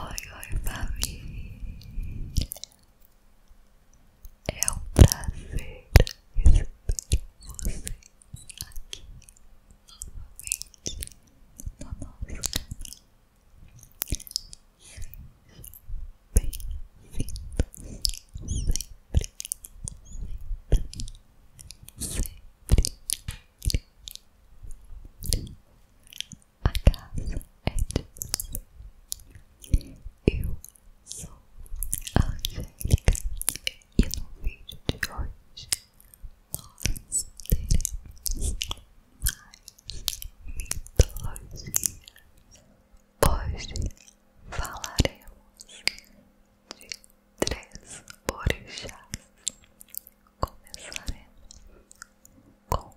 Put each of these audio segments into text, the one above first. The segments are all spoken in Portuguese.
Oi, oi família, é um prazer receber vocês aqui novamente no nosso canal. Sejam bem vindo sempre, sempre, sempre a casa é de você. Eu sou a Angélica e no vídeo de hoje nós teremos mais mitologia. Hoje falaremos de três orixás. Começaremos com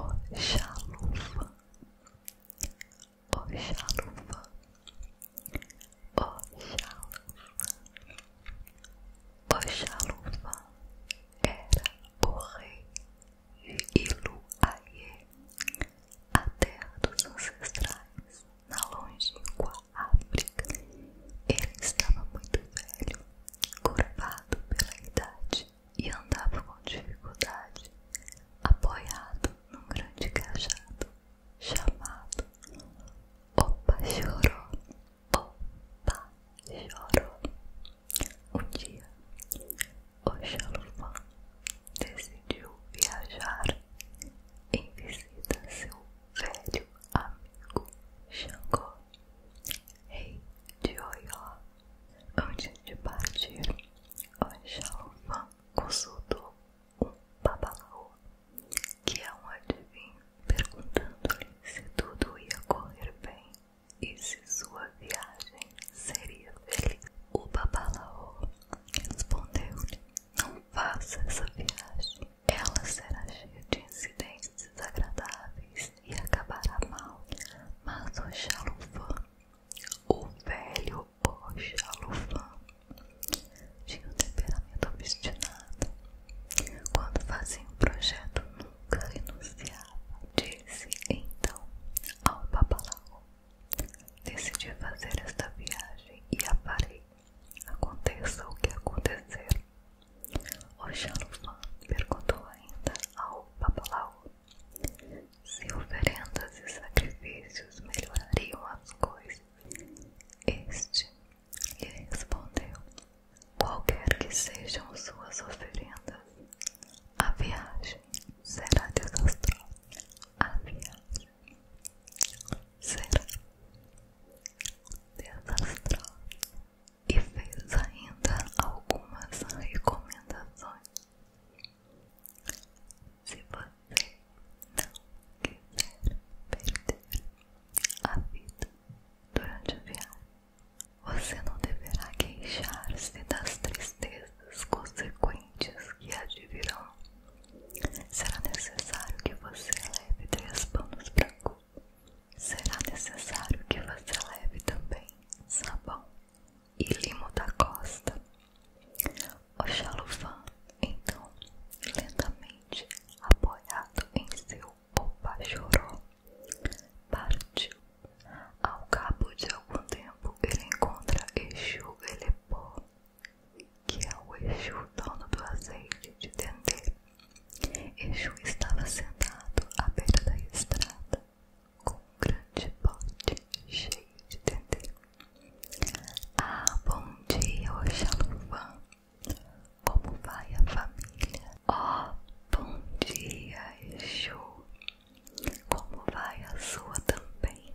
Oxalufa, Oxalufa, é Oxalufa, Oxalufa era o rei de Iluaie, é a terra dos ancestrais na longínqua África. Ele estava muito velho curvado pela idade e andava com dificuldade, apoiado num grande cajado chamado Opa Choró. Opa Choró. Um dia, o Xalufã decidiu viajar em visita a seu velho amigo Xangô rei de Oió. Antes de partir, Oxalufã consultou um babalaô, que é um adivinho, perguntando-lhe se tudo ia correr bem e se sua viagem seria feliz. O babalaô respondeu-lhe, não faça essa viagem, ela será cheia de incidentes desagradáveis e acabará mal. Mas o Xalufã, o velho O Xalufã, tinha um temperamento obstinado. Quando fazia um projeto, nunca renunciava. Disse então ao Babalau: Decidi fazer esta viagem e a farei. Aconteça o que aconteceu. O Oxalufã perguntou ainda ao Papalau se oferendas e sacrifícios melhorariam as coisas. Este lhe respondeu: Qualquer que sejam suas oferendas, a viagem será desastrosa. A viagem será desastrosa e fez ainda algumas recomendações. Se você não quiser perder a vida durante o viagem, você não deverá queixar-se das tristezas consequentes que advirão. Será necessário que você leve três panos brancos Será necessário que você leve também sabão e limo da costa. O xalofã, então, lentamente apoiado em seu opachoró, partiu. Ao cabo de algum tempo, ele encontra Exu Elepó, que é o Exu dono do azeite de Dendê. Exu estava sentado à beira da estrada, com um grande pote cheio de dendê. Ah, bom dia, Oxalufã! Como vai a família? Oh, bom dia, Exu! Como vai a sua também?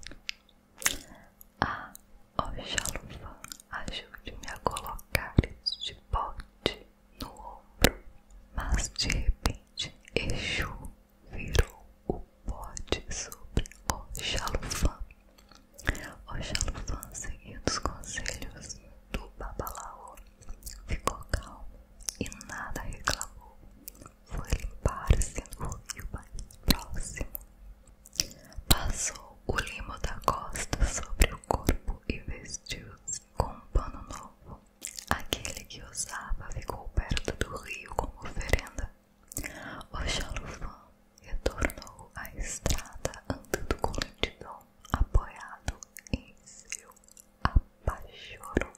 Ah, Oxalufã, ajude-me a colocar este pote no ombro, mas de repente Exu virou o pote sobre o O Oxalufã, seguindo os conselhos do Babalaô, ficou calmo e nada reclamou. Foi limpar-se no rio mais próximo. Passou o limo da costa sobre o corpo e vestiu-se com um pano novo. Aquele que usava ficou perto do rio como oferenda. O Xalufã retornou à estrada andando com lentidão, apoiado em seu apachoro.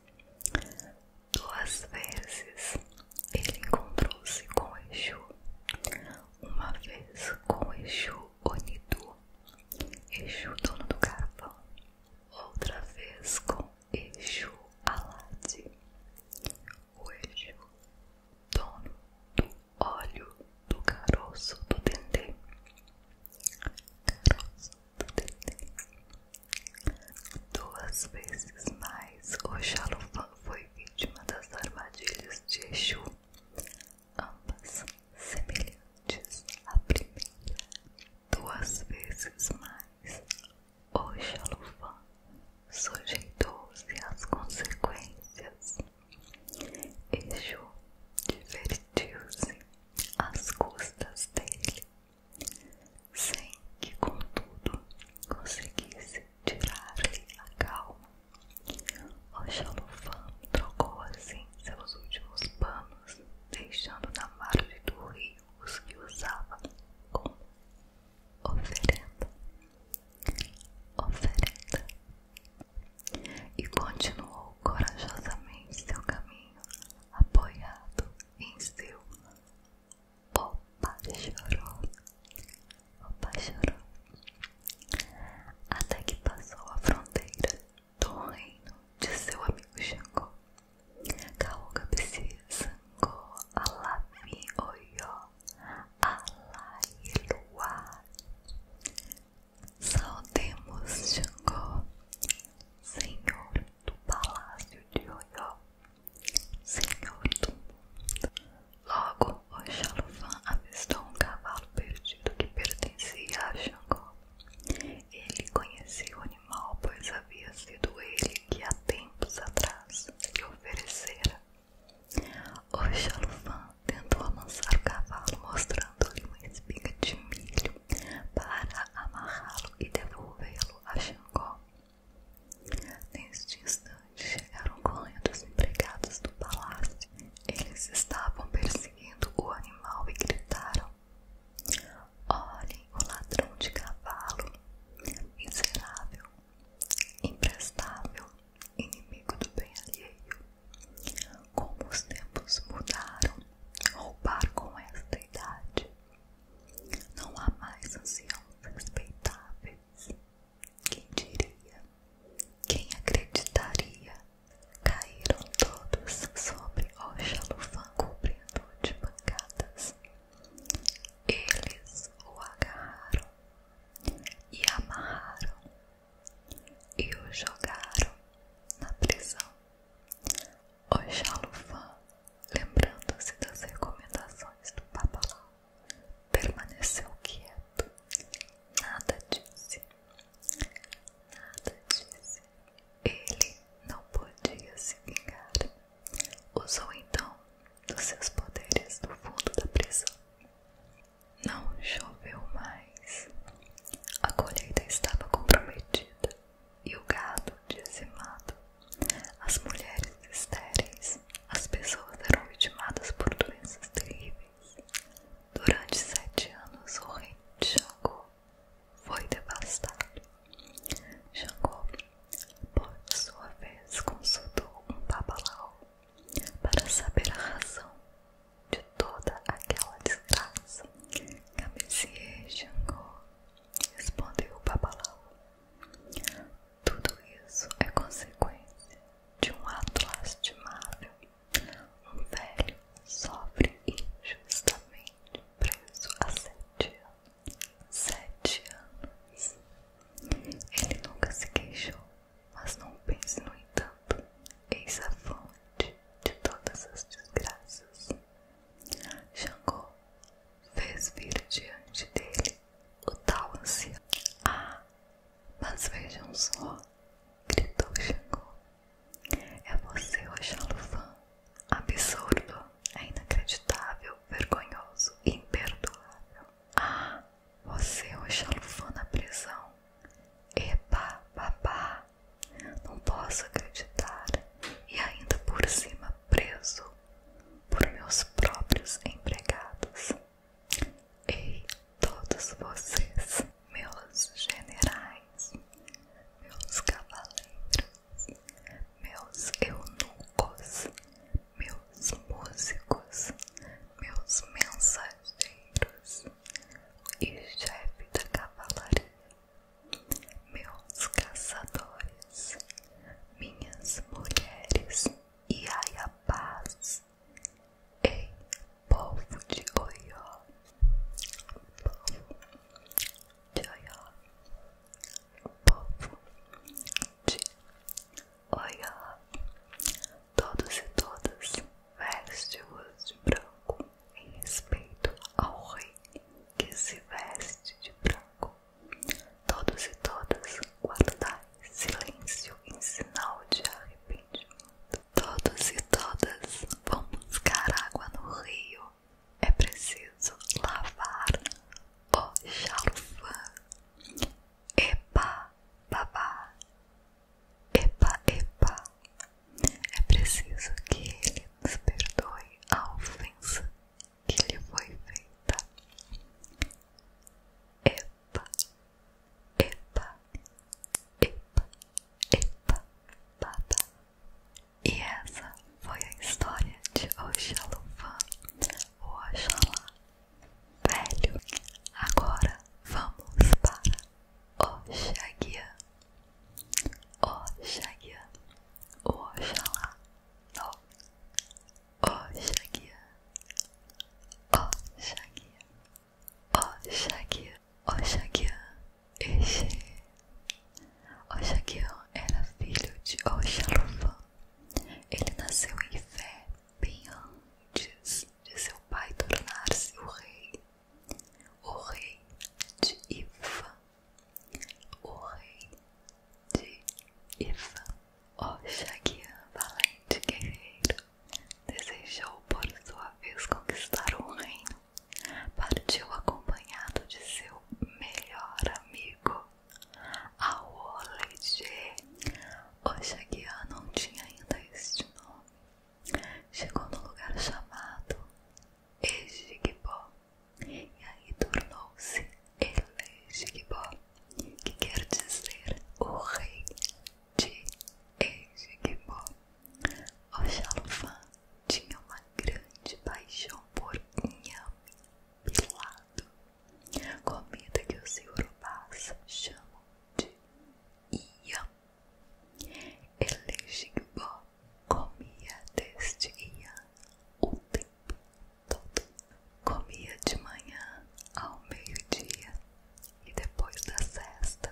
Duas vezes ele encontrou-se com Exu, uma vez com Exu Onidu, Exu dono do carvão, outra vez com Exu Alade, o Exu, dono do óleo do caroço do dendê. Caroço do dendê. Duas vezes mais, o Oxalufã foi vítima das armadilhas de Exu, ambas semelhantes à primeira duas vezes mais. Oxalufã sujeitou-se às consequências. e Exu divertiu-se às custas dele, sem que, contudo, conseguisse tirar-lhe a calma. Oxalufã trocou assim seus últimos panos deixando na margem do rio os que usava como oferenda. Oferenda. E continuou corajosamente seu caminho, apoiado em seu opachoró. Opachoró. Até que passou a fronteira do reino de seu amigo Xangô. Kaoga Bc Sangô Alavi Oió Alailuá. Saudemos Xangô, Senhor do Palácio de Oyó, Senhor do Mundo. Logo, o Oxalufã avistou um cavalo perdido que pertencia a Xangô. Ele conhecia o animal, pois havia sido ele que há tempos atrás lhe oferecera. O Xalufã tentou amansar o cavalo, mostrando-lhe uma espiga de milho para amarrá-lo e devolvê-lo a Xangó. Neste instante chegaram correndo os empregados do palácio. Eles estavam perseguindo o animal e gritaram: Natal. Olhem o ladrão de cavalo, miserável, imprestável, inimigo do bem alheio. Como os tempos mudaram, roubar com esta idade. Não há mais anciãos respeitáveis. Quem diria? Quem acreditaria Caíram todos sobre o Xalufã, cobrindo de pancadas. Eles o agarraram e amarraram e o jogaram na prisão. O Xalufã, lembrando-se das recomendações do Babalão, permaneceu quieto, nada disse nada disse. Ele não podia se vingar. Usou então os seus poderes do fundo da prisão. Não choveu mais. A colheita estava comprometida e o gado dizimado. As mulheres estéreis, as pessoas eram vitimadas por doenças terríveis. Durante sete anos, o rei Xangô foi devastado. Jangô, por sua vez, consultou um babalau para saber a razão de toda aquela desgraça. Camisier Jangô, respondeu o babalau. Tudo isso é consequência de um ato lastimável. Um velho sofre injustamente preso há sete anos. Sete anos. Ele nunca se queixou, mas não pense, no entanto, eis a fonte de todas as desgraças. Xangô fez vir diante dele o tal ancião. Ah, mas vejam só, gritou Xangô. É você o Alufã. Absurdo, é inacreditável, vergonhoso, imperdoável. Ah, você é o Alufã, na prisão. Epa, papá, não posso acreditar. E ainda por cima, preso por meus próprios empregados. Ei, todos vocês, meus generais meus cavaleiros, meus eunucos, meus músicos, meus mensageiros e chefe da cavalaria, meus caçadores, minhas mulheres e ai a paz. Ei, povo de Oió, Joió, povo de Oió, todos e todas veste-os de branco em respeito ao rei que se veste de branco. Todos e todas guardai silêncio em sinal de arrependimento. Todos e todas vão buscar água no rio é preciso lavar o xalofã. Epa, babá, epa, epa. É preciso que ele nos perdoe a ofensa que lhe foi feita. Epa, epa, epa, epa, babá. E essa foi a história de Oxalufã, o Oxalá velho. Agora vamos para Oxaguian. Oxaguian, o Oxalá novo. Oxaguian, Oxaguian, Oxaguian, Oxaguian Exê. Oxaguião era filho de Oxalufã. Ele nasceu em Fé bem antes de seu pai tornar-se o rei, o rei de Iva, o rei de Iva. Oxaguião, valente guerreiro, desejou por sua vez conquistar o reino partiu acompanhado de seu melhor amigo, Aoleje. O Shaguian não tinha ainda este nome. Chegou no lugar chamado Ejigbo e aí tornou-se Elegigbo, que quer dizer o rei de Ejigbo. O Xalofan tinha uma grande paixão por inhame pilado, comida que os iorubás chamam de iam. Elegigbó comia deste iam o tempo todo. Comia de manhã ao meio-dia e depois da cesta.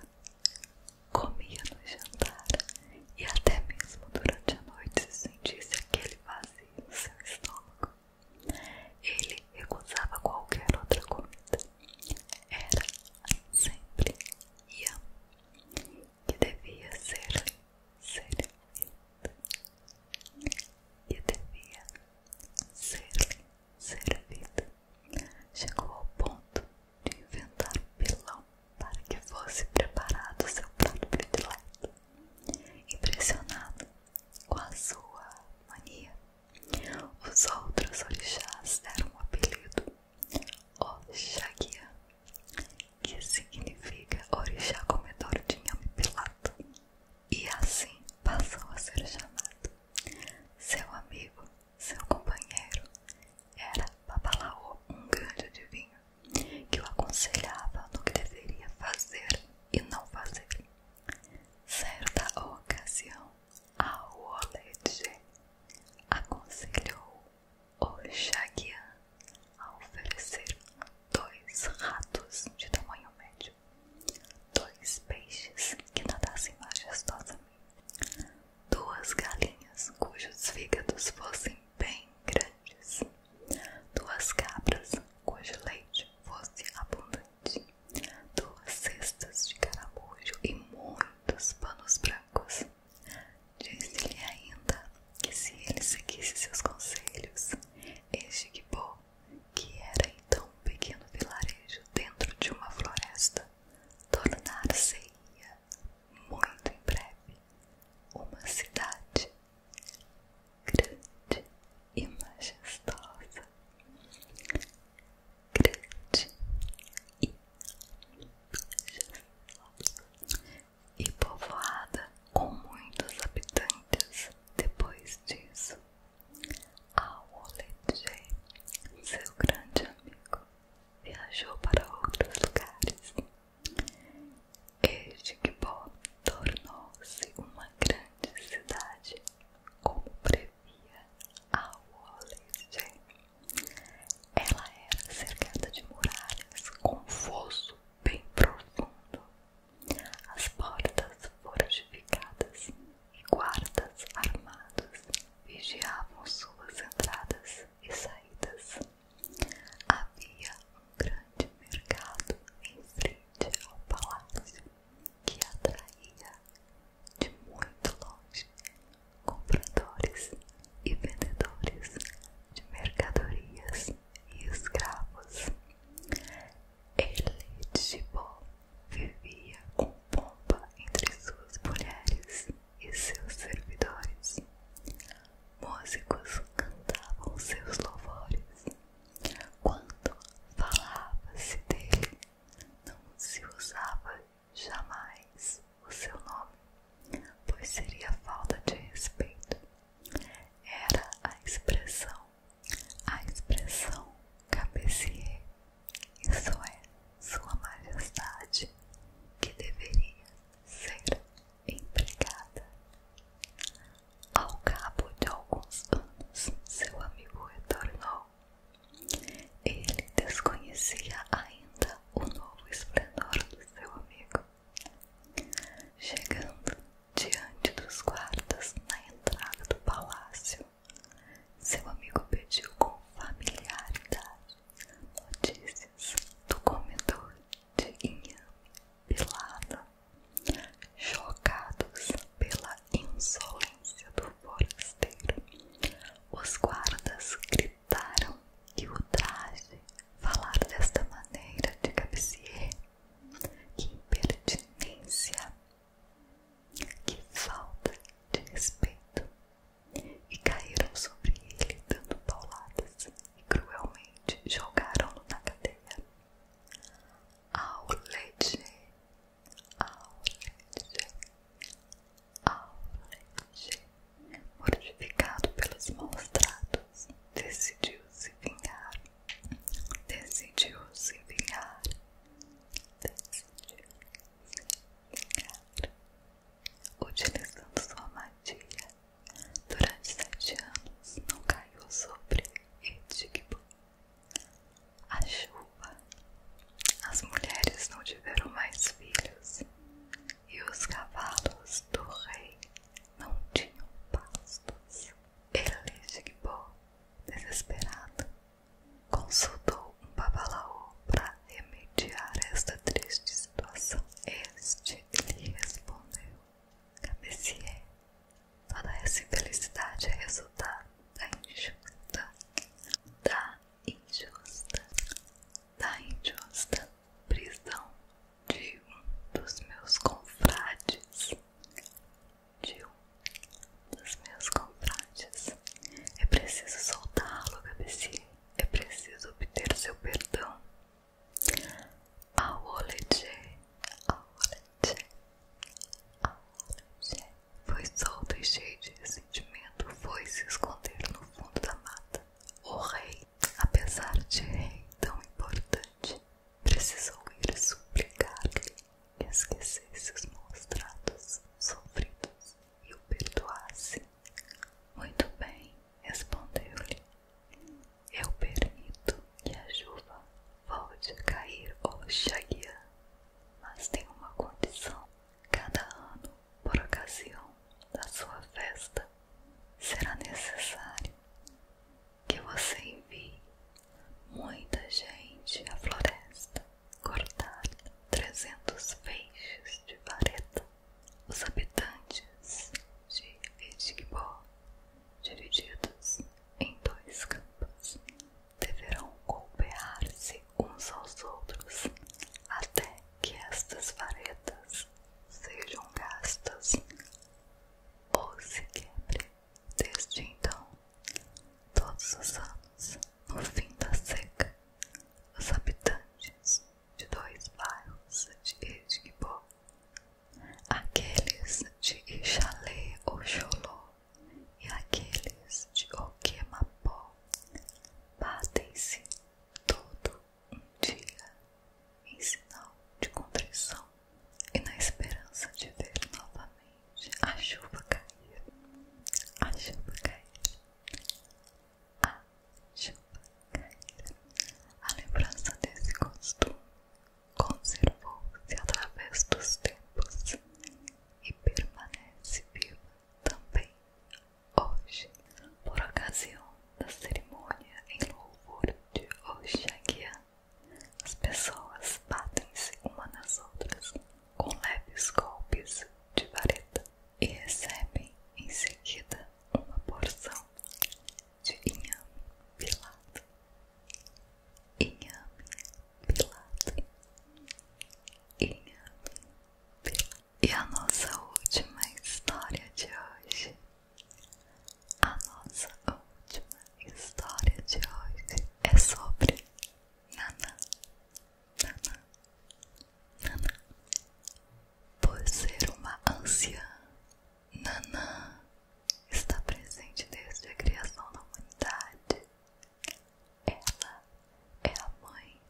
Comia no jantar e até mesmo durante a noite, sentisse aquele vazio no seu estômago. Ele recusava qualquer outra comida. Era sempre Ian, que devia ser, ser que devia ser servida. Chegou ao ponto de inventar pilão para que fosse preparado seu prato predileto. Impressionado com a sua mania, os outros orixás deram o apelido, Oxaguia, que significa orixá comedor de inhame pelado, e assim passou a ser chamado. Seu amigo, seu companheiro, era Babalaô, um grande adivinho, que o aconselhava no que deveria fazer e não fazer. Certa ocasião, a Oledge aconselhou o Shagian a oferecer dois ratos de tamanho médio, dois peixes que nadassem majestosamente, duas galinhas cujos fígados fossem bem grandes, duas cabras cujo leite fosse abundante, duas cestas de caramujo e muitos panos brancos. Disse-lhe ainda que se ele seguisse seus conselhos, este Gibô, que era então um pequeno vilarejo dentro de uma floresta, tornar se muito em breve, uma cidade grande e majestosa, grande e povoada com muitos habitantes. Depois disso, Aoleje, seu grande amigo, viajou para outros lugares este Edgbó tornou-se uma grande cidade, como previa a Wallace. Ela era cercada de muralhas com fosso bem profundo. As portas fortificadas e guardas armados vigiavam suas entradas e saídas. Havia um grande mercado em frente ao palácio que atraía de muito longe compradores e vendedores de mercadorias e escravos. Ele de Gibó vivia com pompa entre suas mulheres e seus servidores músicos cantavam seus louvores. Quando falava-se dele, não se usava jamais o seu nome, pois seria falta de respeito. Era a expressão, a expressão cabecier, isso é, Sua Majestade, que deveria ser empregada. Ao cabo de alguns anos, seu amigo retornou. Ele desconhecia ainda o novo esplendor do seu amigo. Chegando diante dos guardas na entrada do palácio, seu amigo pediu com familiaridade notícias do comedor de inhame pilado, chocados pela insolência do forasteiro. Os guardas gritaram que o traje falar desta maneira de Cabecier. Que impertinência! Que falta de respeito! E caíram sobre ele dando pauladas e cruelmente jogaram-no na cadeia. Aulete, aulete, aulete, mortificado pelos maus tratos, decidiu-se vingar, decidiu-se vingar, decidiu-se vingar, utilizando sua magia Durante sete anos não caiu sobre Edigbo a chuva. As mulheres não tiveram mais filhos e os cavalos do rei não tinham pastos. Eligbo, desesperado, consultou um babalaô para remediar esta triste situação. Este lhe respondeu: Cabeceei. Toda essa infelicidade é resultado da injusta, da injusta, da injusta prisão de um dos meus confrades. De um dos meus confrades. É preciso soltá-lo, Cabeceei. É preciso obter seu perdão. Aolete, Aolete, Aolete. Foi solto e cheio de ressentimento, foi se esconder no fundo da mata. O rei, apesar de rei tão importante, precisou ir suplicar-lhe que esquecesse os maus sofridos e o perdoasse. Muito bem, respondeu-lhe. Eu permito que a chuva volte a cair hoje aqui, mas tem uma condição. Cada ano, por ocasião da sua festa, será necessário que você envie muita gente à floresta cortar 300 feixes de vareta. Os habitantes de Edgbó, divididos em dois campos, deverão golpear-se uns aos outros, até que estas varetas sejam gastas ou se quebre. Desde então, todos os anos, no fim da seca, os habitantes de dois bairros de Edgbó aqueles de Ixalê Oxoló e aqueles de Oquemapó batem-se todo um dia em sinal de contrição e na esperança de ver novamente a chuva cair, a chuva cair, a chuva cair. A lembrança desse costume conservou-se através dos tempos e permanece viva também hoje, por ocasião da cerimônia em louvor de Oxaguian. As pessoas batem-se uma nas outras com leves golpes de vareta e recebem em seguida uma porção de inhame pilado. Inhame pilado. Inhame pilado. E a nossa última história de hoje. A nossa última história de hoje é sobre Nanã. Nanã. Nanã. Por ser uma anciã Nanã está presente desde a criação da humanidade. Ela é a mãe,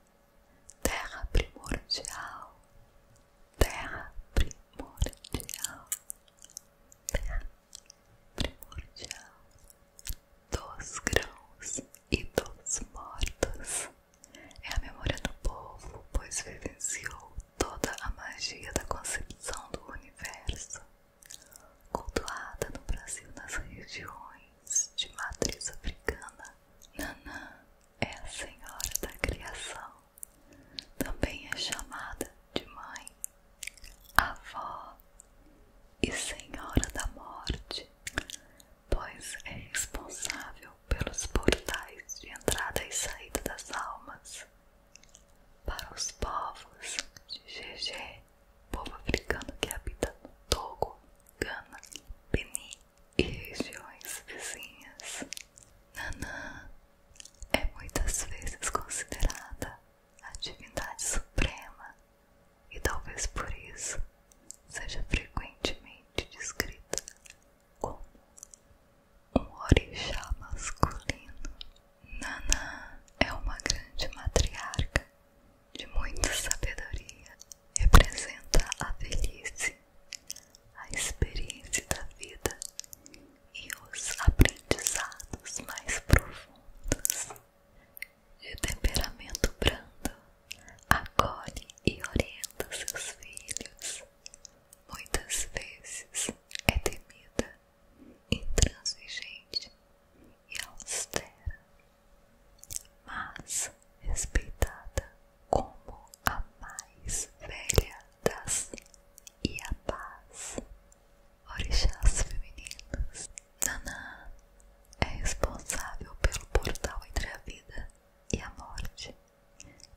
terra primordial, terra primordial, terra primordial dos grãos e dos mortos. É a memória do povo, pois vivenciou toda a magia da concepção do universo, cultuada no Brasil nas regiões de matriz africana. Nanã é a senhora da criação, também é chamada de mãe, avó e senhora da morte, pois é responsável pelos portais de entrada e saída das almas para os povos de Gegé, povo africano que habita no Togo, Gana, Benin e regiões vizinhas. Nanã é muitas vezes considerada a divindade suprema e talvez por isso seja frequentemente descrita como um orixá masculino. Nana é uma grande matriarca de muita sabedoria, representa a velhice, a experiência da vida e os aprendizados mais profundos. De temperamento brando, acolhe e orienta seus filhos, muitas vezes é temida, intransigente e austera, mas respeitada como a mais velha das Iabás, orixás femininas. Nanã é responsável pelo portal entre a vida e a morte.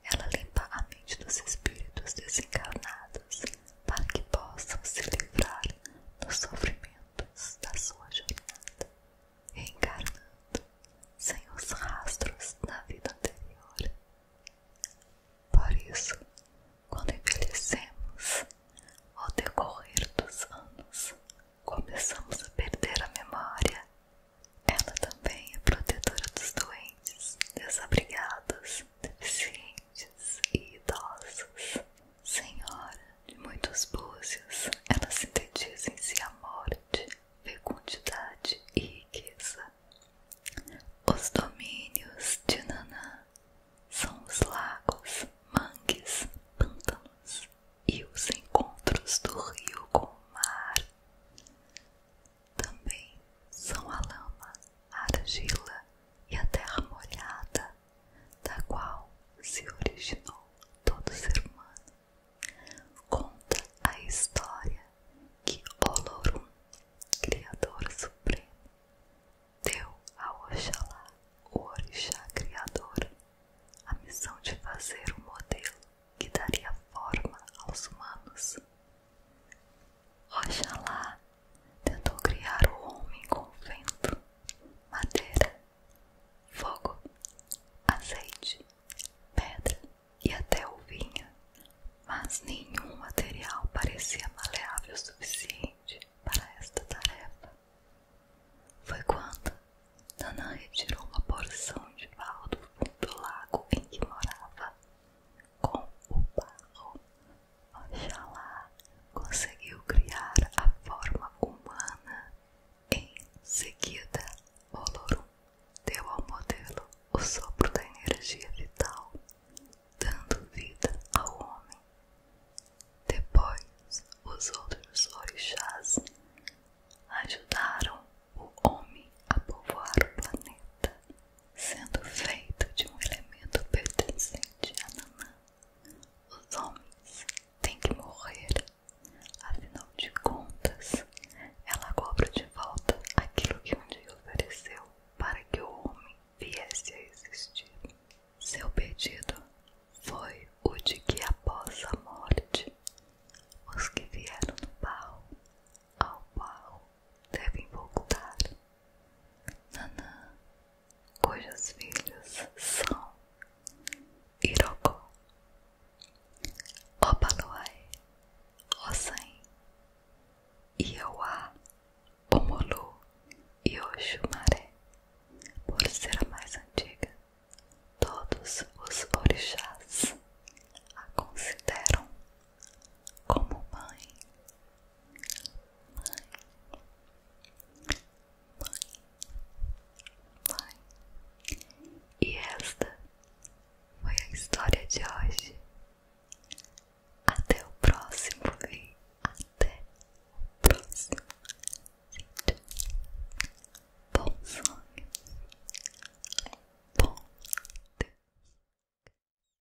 Ela limpa a mente dos espíritos desencarnados para que possam se livrar dos sofrimentos da sua jornada, reencarnando sem os rastros da vida anterior. Por isso, quando envelhecemos, ao decorrer dos anos, começamos a perder a memória. Ela também é protetora dos doentes, desabrigados deficientes e idosas. Senhora de muitos búzios, elas sintetiza se si a morte, fecundidade e riqueza. Os domínios de Nanã são os lagos, mangues, pântanos e os encontros do rio com o mar também são a lama, a argila e a terra molhada, da qual se originou todo ser humano. Conta a história que Olorum, Criador Supremo, deu a Oxalá, o Orixá Criador, a missão de fazer um modelo que daria forma aos humanos. Oxalá tentou criar o homem com vento, madeira, fogo, azeite, pedra e até o vinho, mas nenhum material parecia maleável o suficiente para esta tarefa. Foi quando Nanã retirou uma porção de barro do lago em que morava, com o barro Oxalá conseguiu criar a forma humana. Em seguida, Oloru deu ao modelo o sopro da energia vital, dando vida ao homem. Depois, os outros orixás ajudaram o homem a povoar o planeta sendo feito de um elemento pertencente a Nanã. Os homens têm que morrer, afinal de contas, ela cobra de volta aquilo que um dia ofereceu para que o homem viesse a existir. Seu pedido foi o de que após a morte, os que vieram no barro, ao barro devem voltar. Nanã, cujos filhos são Irocó, Opaluai, Ossain, Iauá, Omolu e é Oxumaré, por ser a mais antiga, todos os orixás a consideram como mãe, mãe, mãe, mãe. E esta foi a história de hoje. Até o próximo vídeo. Até o próximo Bom sonho. Bom. dia.